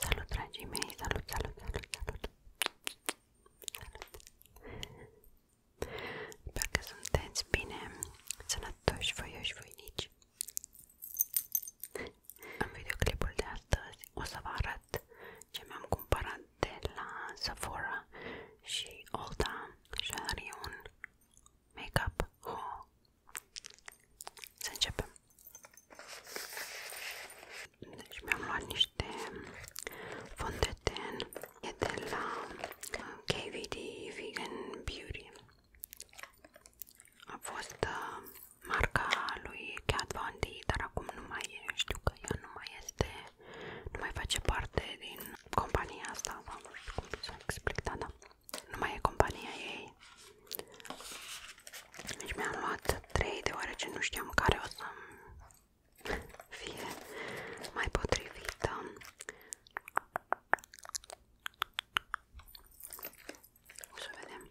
Salut, dragii mei! Salut, salut, salut, salut! Salut! Sper că sunteți bine, sănătoși, voioși, voinici! În videoclipul de astăzi o să vă arăt ce mi-am cumpărat de la Sephora și Ulta și are un makeup haul. Oh. Să începem. Deci mi-am luat niște fond de ten e de la uh, KVD Vegan Beauty. A fost uh, marca lui Kat Von D, dar acum nu mai e, știu că ea nu mai este nu mai face parte din compania asta, sau nu știu cum să explic, da, da, nu mai e compania ei. Deci mi-am luat 3 deoarece nu știam care o să fie mai potrivită. O să vedem.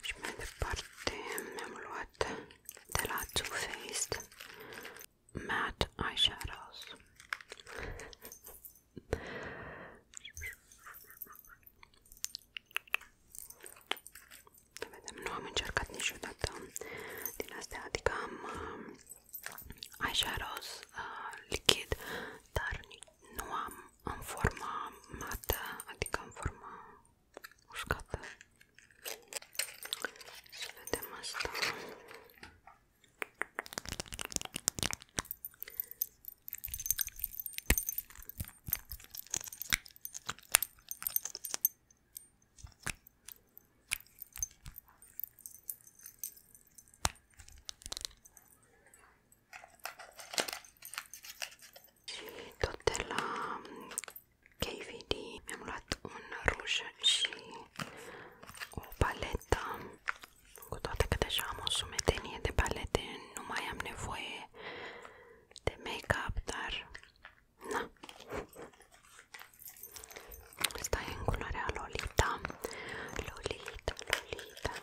Și mai departe am luat de la Too Faced Matte Eyeshadows. nu am încercat niciodată din astea, adică am um, eyeshadows uh, lichid, dar nu am în forma mată, adică în forma uscată. Să vedem asta. Și tot de la KVD mi-am luat un ruj și o paletă, cu toate că deja am o sumedenie de palete, nu mai am nevoie de make-up, dar na. Asta e în culoarea Lolita. Lolita, Lolita,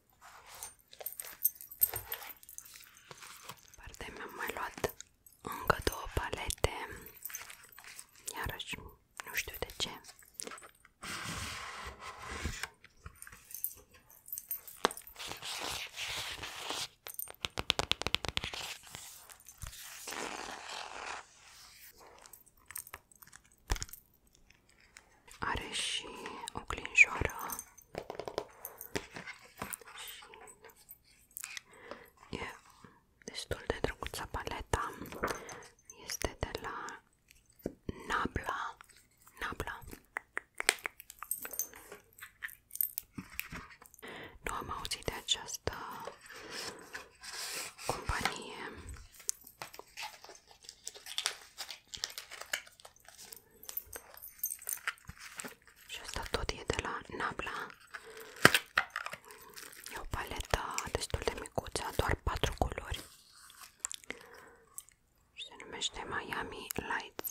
Partea mi-am mai luat încă două palete, iarăși nu știu de ce. Are și o clinjoară și e destul de drăguță paleta. Este de la Nabla. Nabla. Nu am auzit de această companie și asta tot e de la Nabla. E o paletă destul de micuță, doar patru culori. Se numește Miami Lights.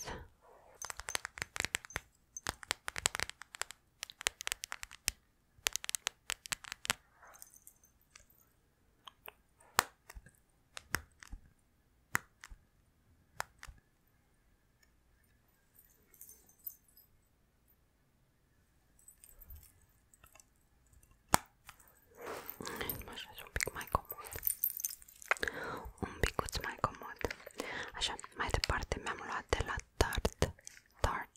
Așa și un pic mai comod. Un picuț mai comod. Așa, mai departe mi-am luat de la Tart. Tart.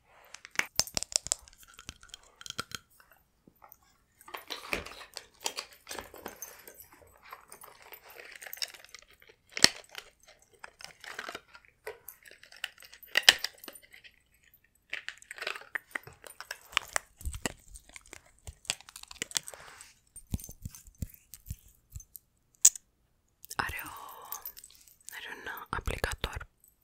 Are, o, are un aplicator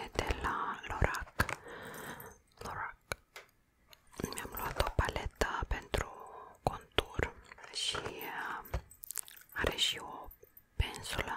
E de la Lorac. Lorac. Mi-am luat o paletă pentru contur și uh, are și o pensulă.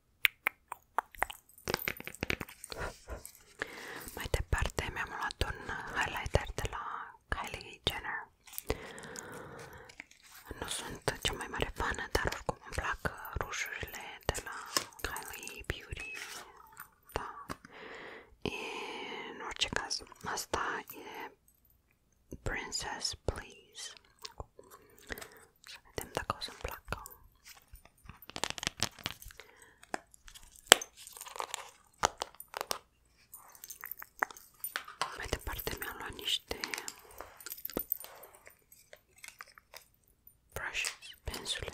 Mai departe mi-am luat un highlighter de la Kylie Jenner. Nu sunt cea mai mare fană, dar oricum îmi plac rușurile de la Kylie Beauty. Da. E, în orice caz, asta e Princess Please. Să vedem dacă o să-mi placă. Mai departe mi-am luat niște brushes, pensule.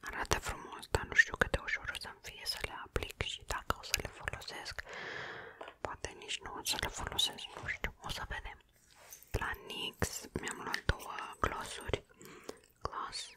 Arată frumos, dar nu știu cât de ușor o să-mi fie să le aplic și dacă o să le folosesc. Poate nici nu o să le folosesc, nu știu, o să vedem. La NYX mi-am luat două glossuri. Gloss. gloss.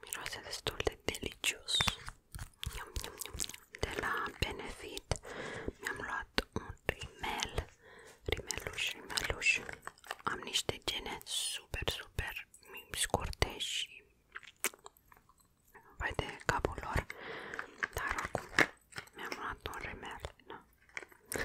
Miroase destul de delicios. Iam, iam, iam. De la Benefit mi-am luat un rimel, rimeluș, rimeluș. Am niște gene super, super scurte și vai de capul lor, dar acum mi-am luat un rimel. No. Da.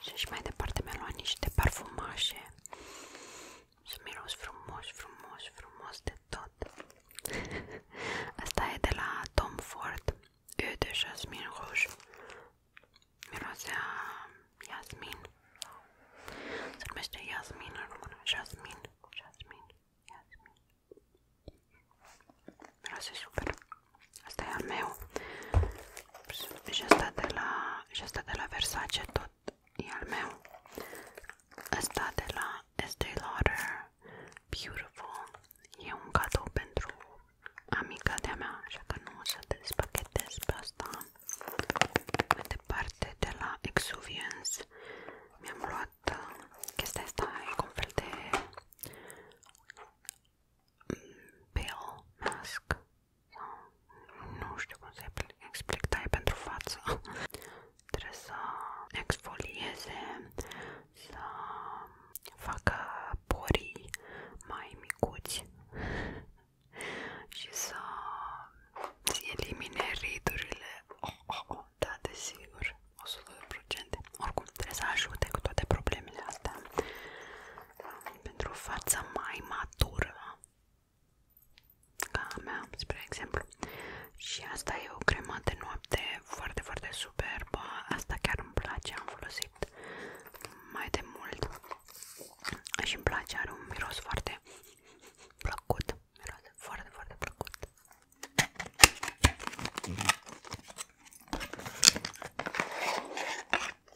Și și mai departe mi-a luat niște parfumașe să miros frumos, frumos, frumos de tot. Asta e de la Tom Ford, Eu de Jasmine Rouge. Mirosea Jasmin. Se numește Jasmin în română. Jasmin, Jasmin, Jasmin. Mirose super. Asta e al meu. Și asta de la, și asta de la Versace tot e al meu. Asta de la Estee Lauder Beautiful e un cadou pentru amica de-a mea, așa că nu o să te despachetez pe asta. Mai departe de la Exuviance mi-am luat uh, chestia asta, e cu un fel de mm, pale mask sau nu știu cum să explic, tai pentru față. Trebuie să exfolieze, să facă porii mai micuți și să elimine ridurile. Oh, oh, oh, da, desigur, 100%. Oricum, trebuie să ajute cu toate problemele astea pentru o față mai matură ca a mea, spre exemplu. Și asta e o cremă de noapte foarte, foarte superbă. Asta chiar îmi place, am folosit mai de mult și îmi place, are un miros foarte plăcut. Miros foarte, foarte plăcut.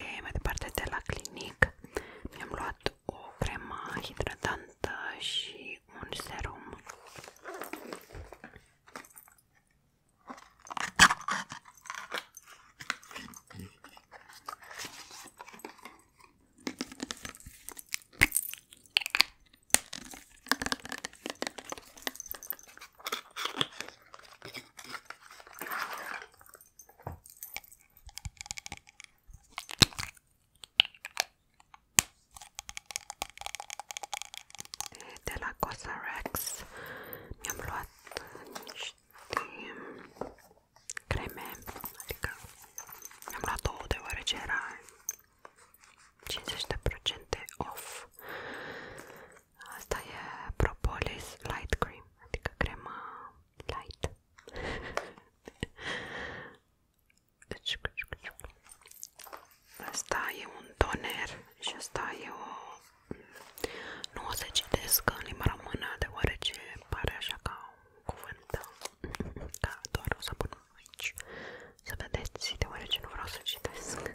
Okay, mai departe de la clinic mi-am luat o cremă hidratantă și un serum. De la Cosrx mi-am luat niște creme, adică mi-am luat două deoarece era 50% off Asta e Propolis Light Cream, adică crema light. Asta e un toner și asta e o... Nu o să citesc în limba română, deoarece pare așa ca un cuvânt, da, doar o să pun aici, să vedeți, deoarece nu vreau să citesc.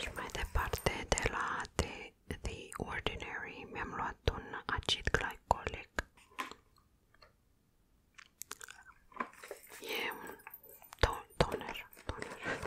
Și mai departe de la The, The Ordinary mi-am luat un acid glicolic. E un toner, toner.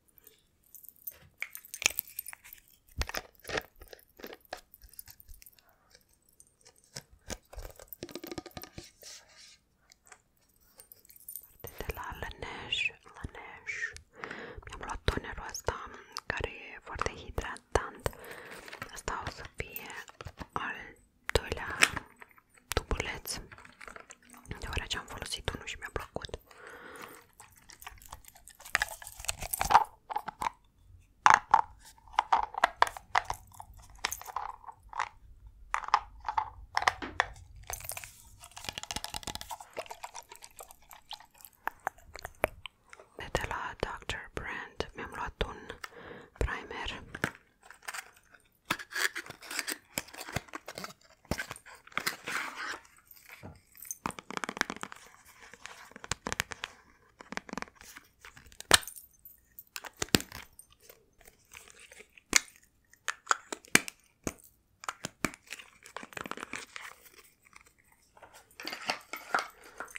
Parte de la Laneige, Laneige. Mi-am luat tonerul ăsta care e foarte hidratant. Asta o să fie al doilea tubuleț, deoarece am folosit unul și mi-a plăcut. De la Dr. Brand mi-am luat un primer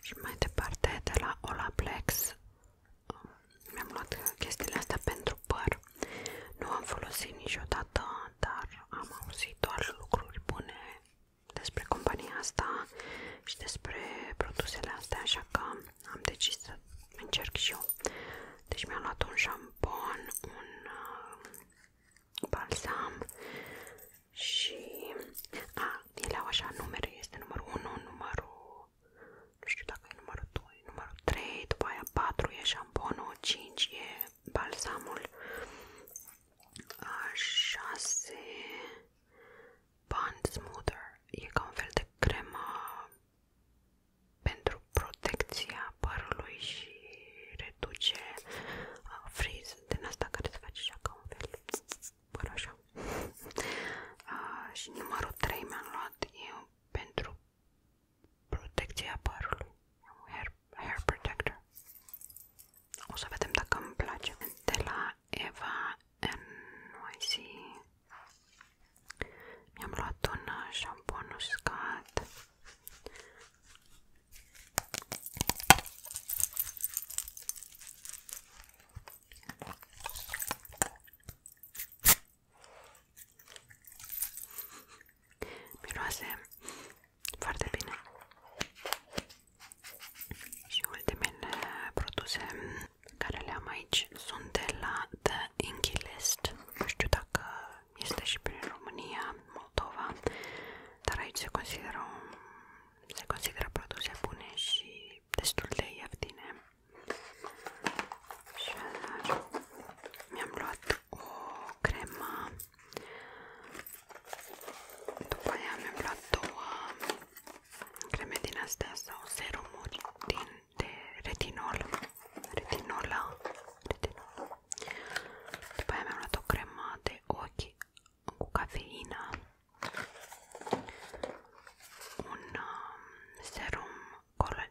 și mai departe de la Olaplex um, mi-am luat chestiile astea pentru păr nu am folosit niciodată, dar am auzit doar lucruri bune despre compania asta și despre produsele astea, așa că am decis să încerc și eu. Deci mi-am luat un șampon, un uh, balsam și a, ele au așa numere, este numărul 1, numărul, nu știu dacă e numărul 2, numărul 3, după aia 4 e șamponul, 5 e balsamul 6 Band Smoother e ca un fel de cremă pentru protecția părului și reduce uh, frizz din asta care se face așa ca un fel păr așa uh, și numărul 3 mi-am luat eu pentru protecția părului, un hair, hair protector. O să vedem dacă îmi place. De la Eva NYC mi-am luat un uh, șampon uscat. Miroase foarte bine. Și ultimele produse care le am aici sunt de la The Inky List. Nu știu dacă este și prin România, Moldova, dar aici se consideră, se consideră produse bune și destul de ieftine și mi-am luat o cremă după aia mi-am luat două creme din astea sau serumuri din, de retinol retinola retinol după aia mi-am luat o cremă de ochi cu cafeină un um, serum Cola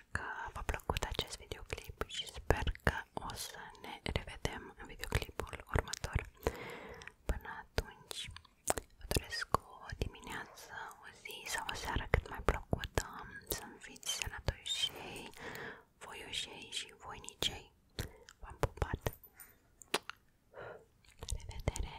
sper că v-a plăcut acest videoclip și sper că o să ne revedem în videoclipul următor. Până atunci, vă doresc o dimineață, o zi sau o seară cât mai plăcută, să-mi fiți sănătoși voioșei și voinicei. V-am pupat! La revedere!